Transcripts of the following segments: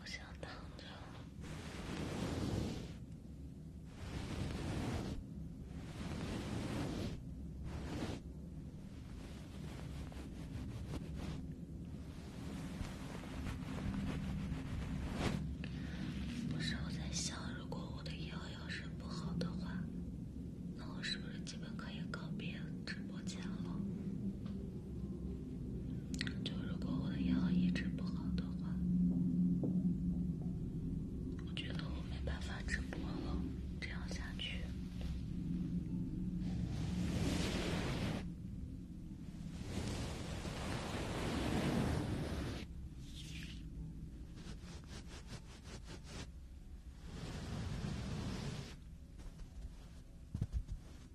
我想躺着。不是我在想，如果我的腰要是不好的话，那我是不是基本可以告别直播间了？就如果我的腰一直不好的话，我觉得我没办法直播了，这样下去。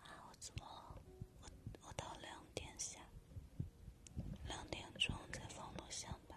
啊，我怎么，我我到两点下，两点钟再放录像吧。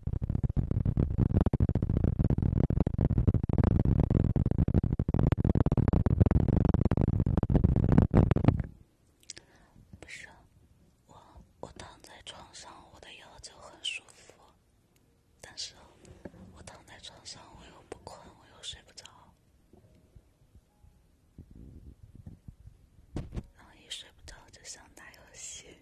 不是我，我躺在床上，我的腰就很舒服。但是，我躺在床上，我又不困，我又睡不着。然后一睡不着就想打游戏。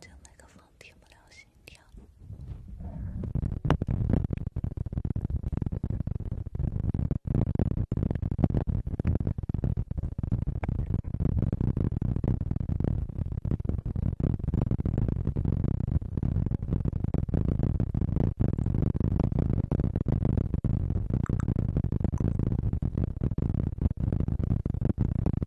这麦克风听不了心跳。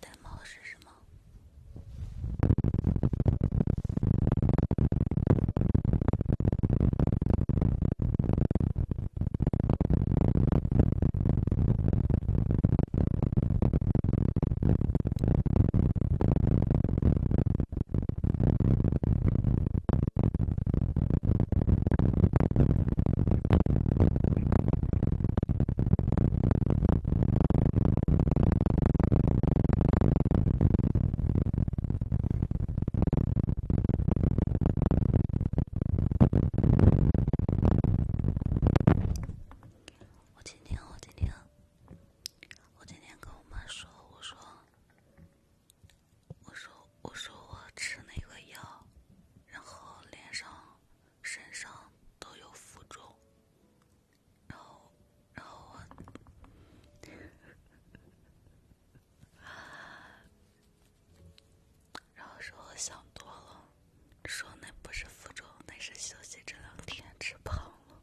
戴帽是什么？我今天，我今天，我今天跟我妈说，我说。我说我说我吃那个药，然后脸上、身上都有浮肿，然后然后我，然后说我想多了，说那不是浮肿，那是休息这两天吃胖了。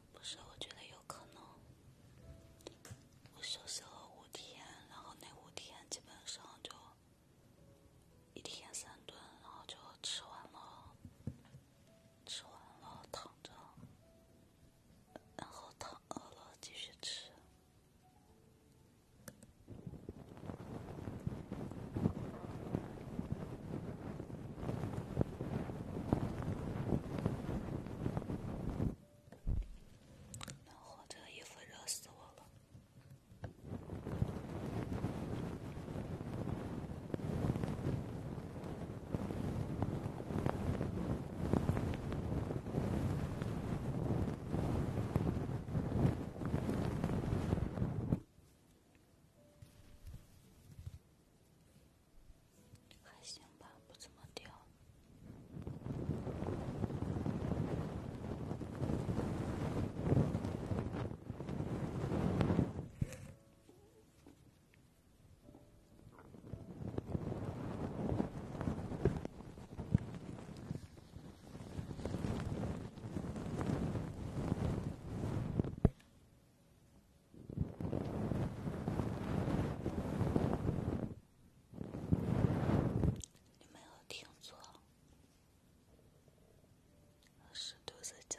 不是，我觉得有可能。我休息了五天，然后那五天基本上就一天三顿，然后就吃完了，吃完了躺着，然后躺了继续吃。暖和，这衣服热死我了。还行吧，不怎么掉。你没有听错，是肚子叫。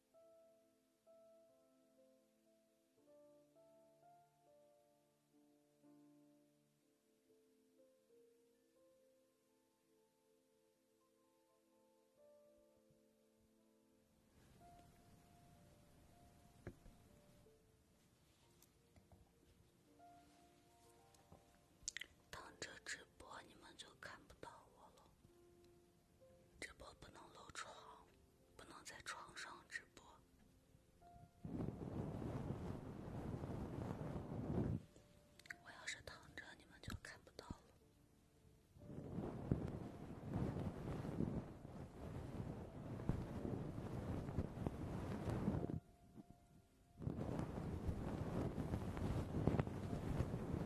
等着直播，你们就看不到我了。直播不能露床，不能在床上直播。我要是躺着，你们就看不到了。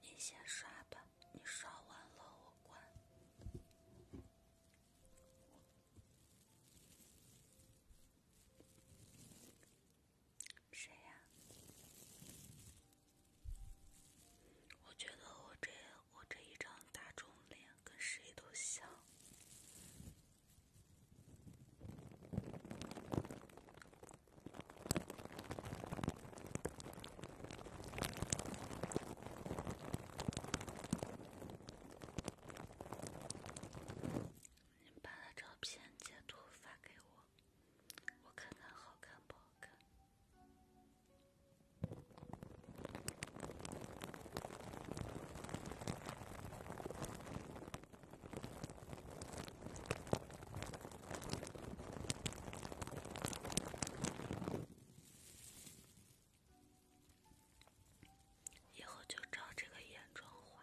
你先刷吧，你刷完了我关。谁呀？我觉得我这我这一张大众脸跟谁都像。你把他照片截图发给我，我看看好看不好看。以后就照这个眼妆画。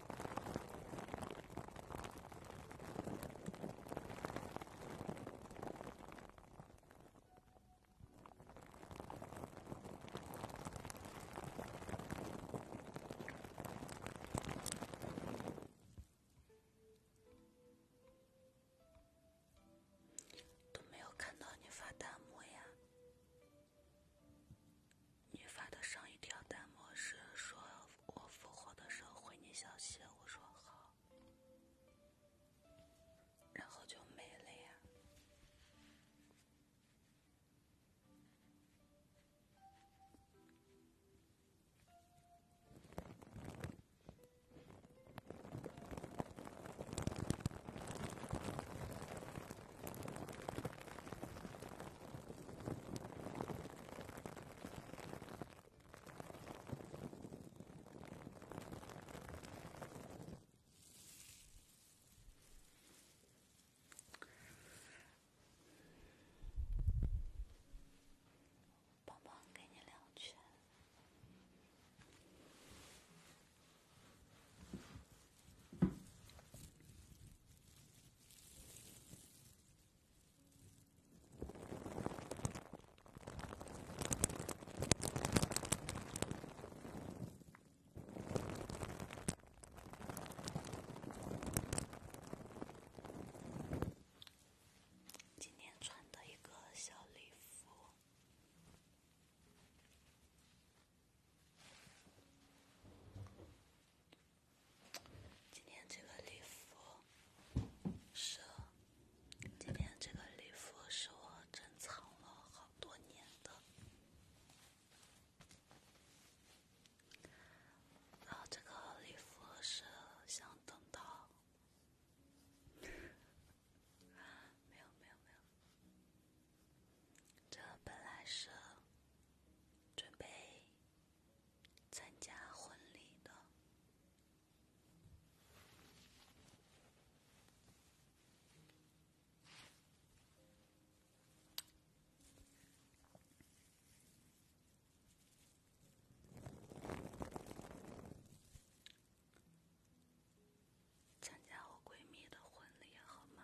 都没有看到你发弹幕呀。你发的上一条弹幕是说“我复活的时候回你消息”，我说好，然后就没了呀。帮帮，给你两圈。今天穿的一个小礼服。今天这个礼服是，今天这个礼服是我珍藏了好多年的。然后这个礼服是想等到，没有没有没有，这本来是准备。参加婚礼的，参加我闺蜜的婚礼好吗？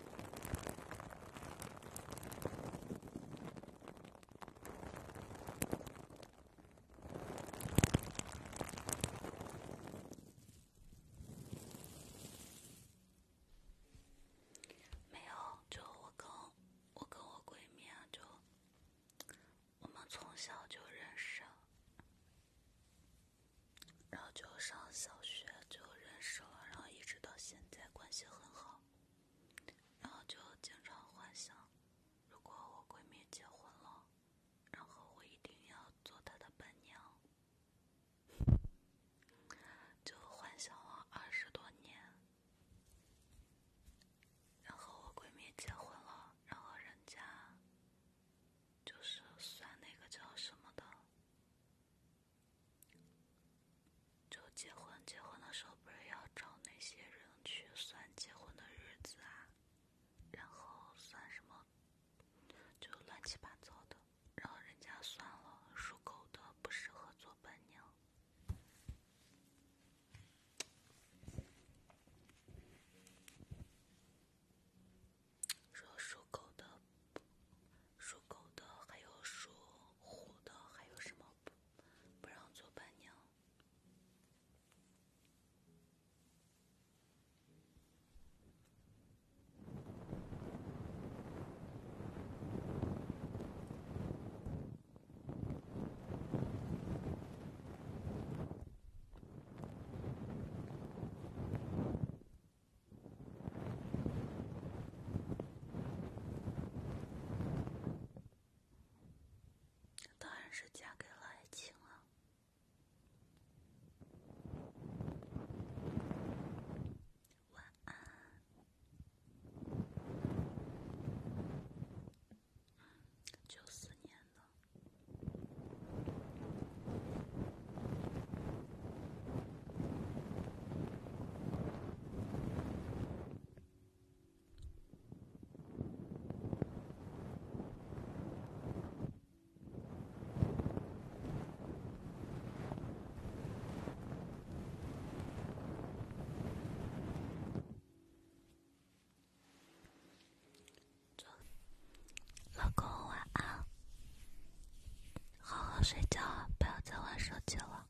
没有，就我跟，我跟我闺蜜就，我们从小就认识，然后就上小学就认识了，然后一直到现在关系很好。然后就经常幻想，如果我闺蜜结婚了，然后我一定要做她的伴娘，就幻想了二十多年。然后我闺蜜结婚了，然后人家就是算那个叫什么的。就结婚，结婚的时候不是要找那些人去算结婚的日子啊，然后算什么，就乱七八糟的。然后人家算了，属狗的不适合做伴娘，说属狗的，属狗的还有属。虎的还有什么不不让做伴娘？当然是嫁给了爱情了。晚安。九四年的。老公，晚安，好好睡觉，不要再玩手机了。